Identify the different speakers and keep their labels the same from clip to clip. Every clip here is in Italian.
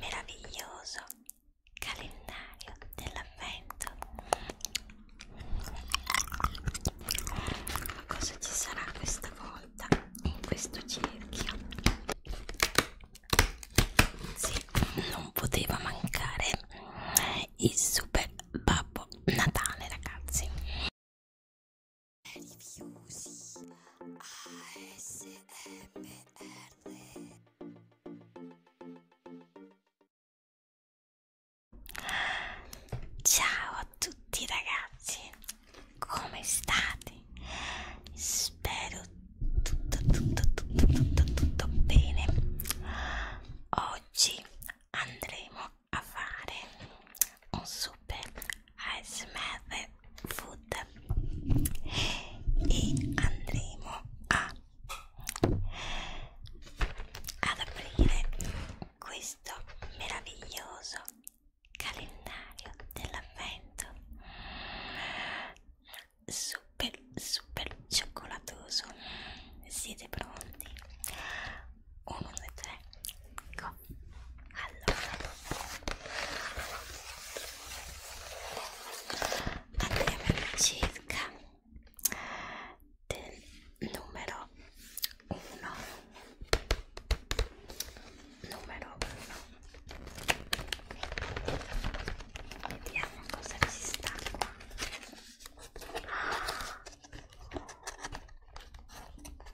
Speaker 1: meraviglioso calendario dell'avvento cosa ci sarà questa volta in questo cerchio sì, non poteva mancare il super babbo natale ragazzi Rifiusi ASMR Ciao a tutti ragazzi, come state? Spero tutto, tutto, tutto, tutto, tutto bene. Oggi andremo a fare un super a smr food e andremo a ad aprire questo meraviglioso calendario dell'avvento super super cioccolatoso siete pronti 1 2 3 go allora andiamo all'incirca del numero 1 numero 1 vediamo cosa ci sta qua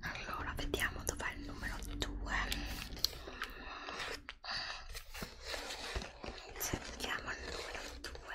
Speaker 1: allora vediamo dov'è il numero 2 cerchiamo il numero 2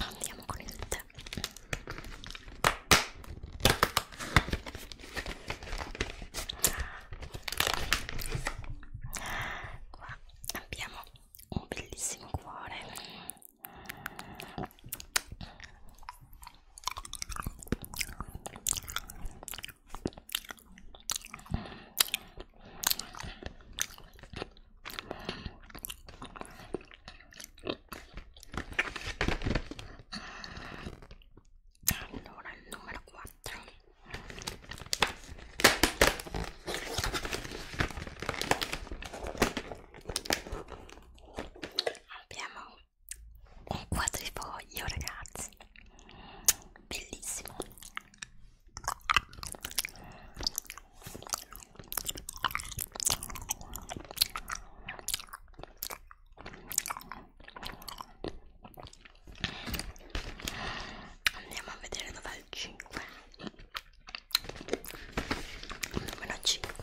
Speaker 1: andiamo con il tè qua abbiamo un bellissimo cuore allora, il numero 4 abbiamo un quadrifoglio ragazzi bellissimo Andiamo a vedere dov'è il 5. Numero 5.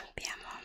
Speaker 1: Abbiamo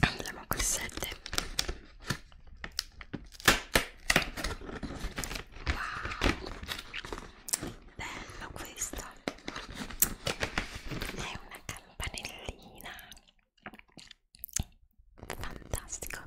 Speaker 1: Andiamo col 7. Wow, bello questo. È una campanellina fantastico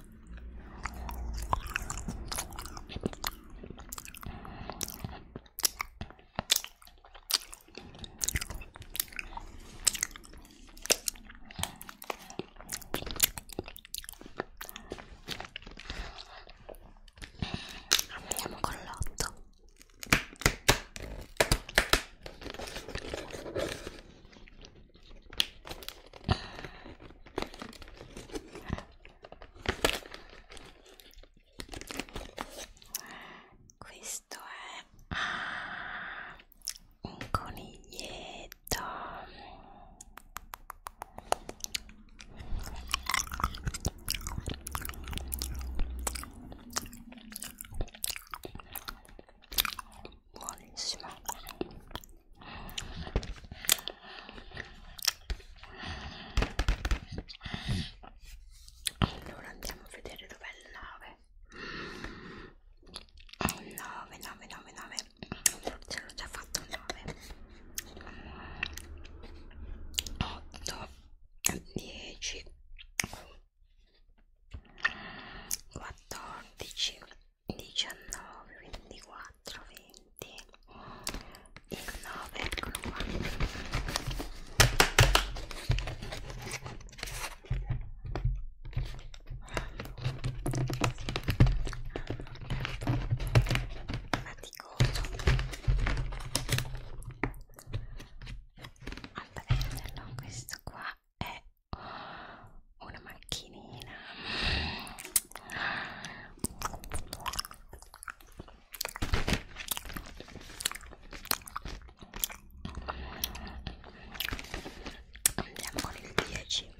Speaker 1: andiamo con l'otto questo è ah, un coniglietto. Buonissimo allora andiamo a vedere dov'è il 9 9 9 9 9 ce l'ho già fatto 9 8 10 14 15 19, 24, 20 il 9, eccolo qua faticoso a prenderlo questo qua è una macchinina andiamo con il 10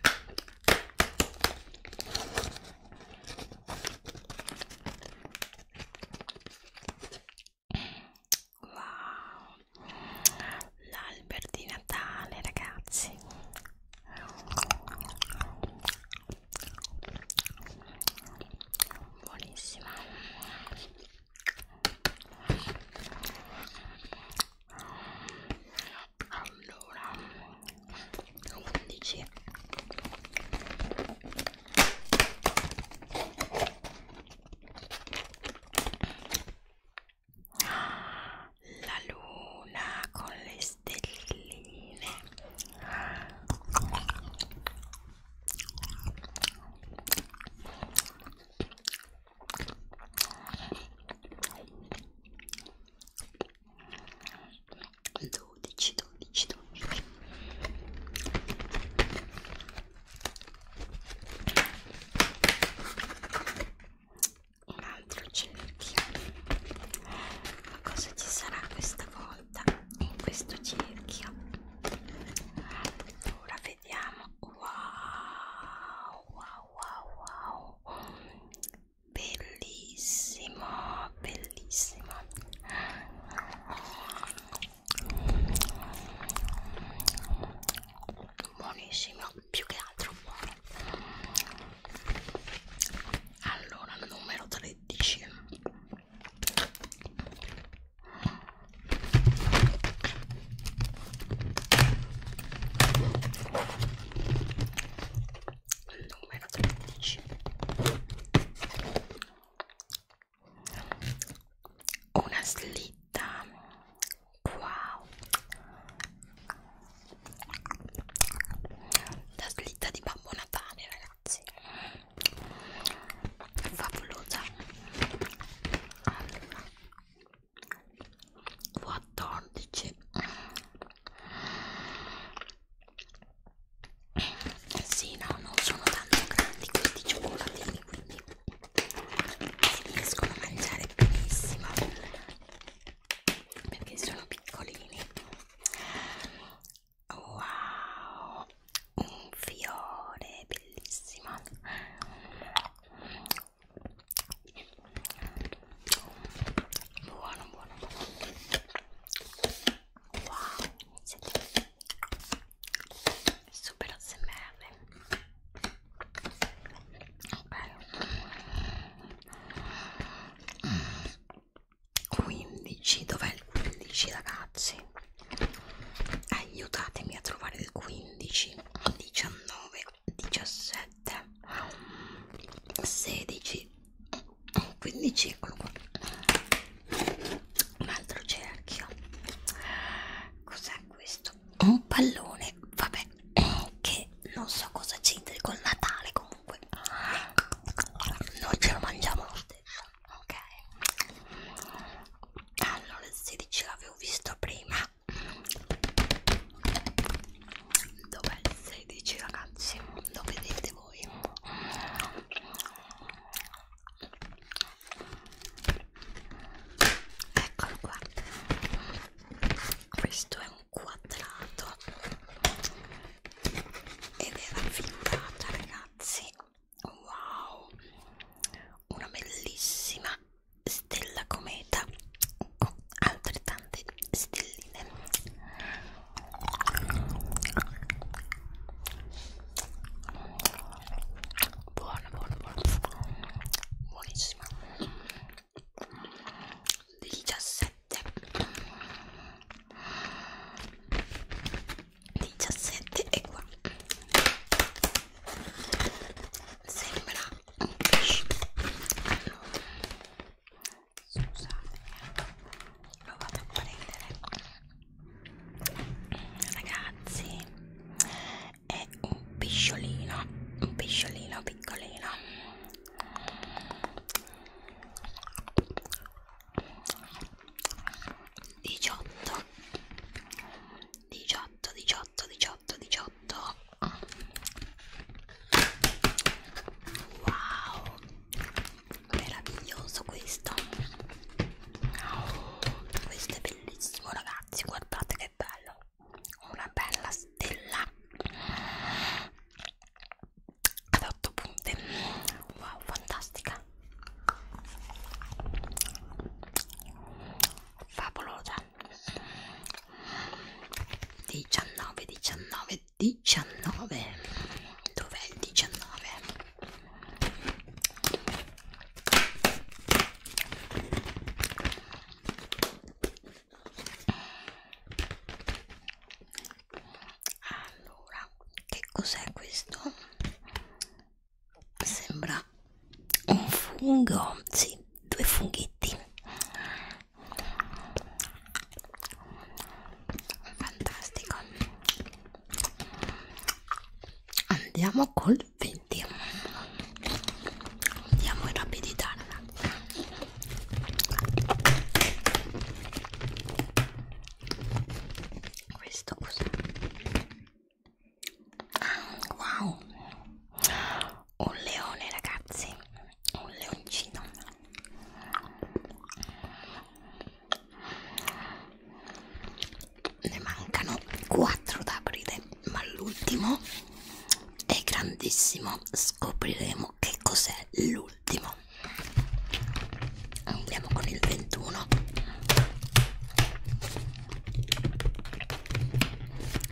Speaker 1: wow l'albero di Natale ragazzi buonissima allora 11 la luna con le stelline dodici dodici dodici un altro cerchio ma cosa ci sarà questa volta in questo cerchio ora vediamo wow wow wow wow bellissimo bellissimo buonissimo più che altro buono allora numero 13 numero 13 una slitta Wow La slitta di Babbo Natale ragazzi Favolosa Allora 14 eh sì no non sono tanto grandi questi cioccolatini quindi si riescono a mangiare benissimo perché sono piccolini wow un fiore bellissimo buono buono buono wow super ASMR ok 15 dov'è il 15 ragazzi aiutatemi a trovare il 15 19 17 16 15 eccolo qua un altro cerchio cos'è è questo? Un pallone, vabbè, che non so cosa c'entri col Natale comunque. Noi ce lo mangiamo lo stesso, ok? Allora, il 16 l'avevo visto prima. Dov'è il 16 ragazzi? Lo vedete voi? eccolo qua questo è un quadrato ed era figurata ragazzi wow una bellissima stella cometa con altrettante stelline buona buona buona buonissima 17 17 e qua sembra un pesce allora scusate lo vado a prendere ragazzi è un pisciolino un pisciolino piccolino diciotto diciotto diciotto diciotto diciotto wow meraviglioso questo Oh, questo è bellissimo ragazzi guardate che bello una bella stella ad 8 punte wow fantastica favolosa 19 19 19 dov'è il 19? Allora, che cos'è questo? Sembra un fungo, sì, due funghetti. Fantastico andiamo col 20 andiamo in rapidità ragazzi questo cos'è? Ah, wow un leone ragazzi un leoncino ne mancano 4 da aprire ma l'ultimo è grandissimo scopriremo che cos'è l'ultimo andiamo con il 21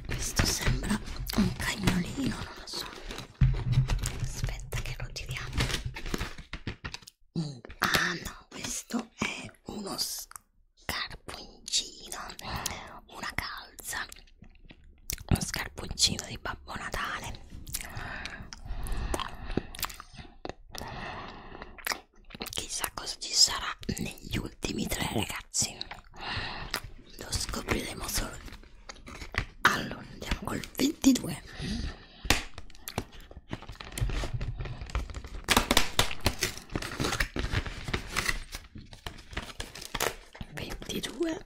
Speaker 1: questo sembra un cagnolino non lo so aspetta che lo tiriamo ah no questo è uno scarponcino una calza uno scarponcino di Babbo Natale chissà cosa ci sarà negli ultimi tre ragazzi lo scopriremo solo allora andiamo col 22 22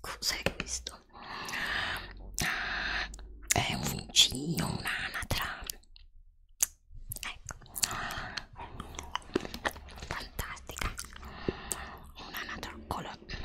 Speaker 1: cos'è questo? è un uncino, un'anatra ecco fantastica un'anatra color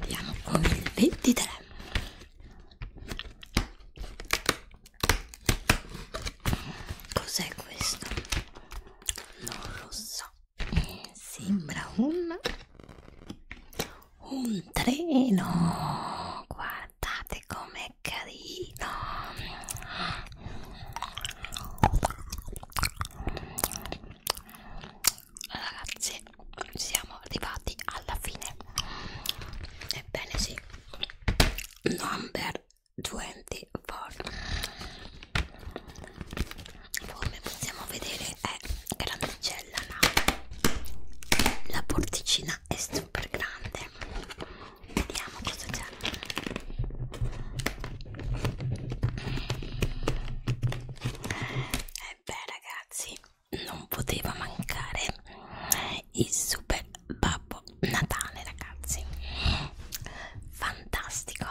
Speaker 1: andiamo con il 23 cos'è questo? non lo so sembra un un treno guardate com'è carino ragazzi siamo arrivati alla fine ebbene sì number 24 come possiamo vedere è grandicella no? la porticina è super grande vediamo cosa c'è e eh beh ragazzi non poteva mancare il super babbo natale ragazzi fantastico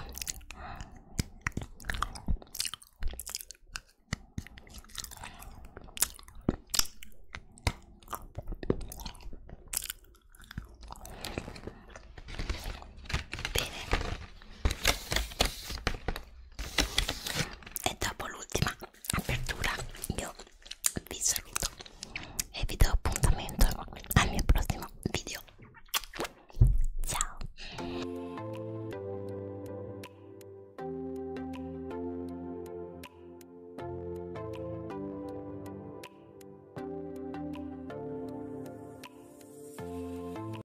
Speaker 1: Bene, e dopo l'ultima apertura io vi saluto e vi do appuntamento al mio prossimo video ciao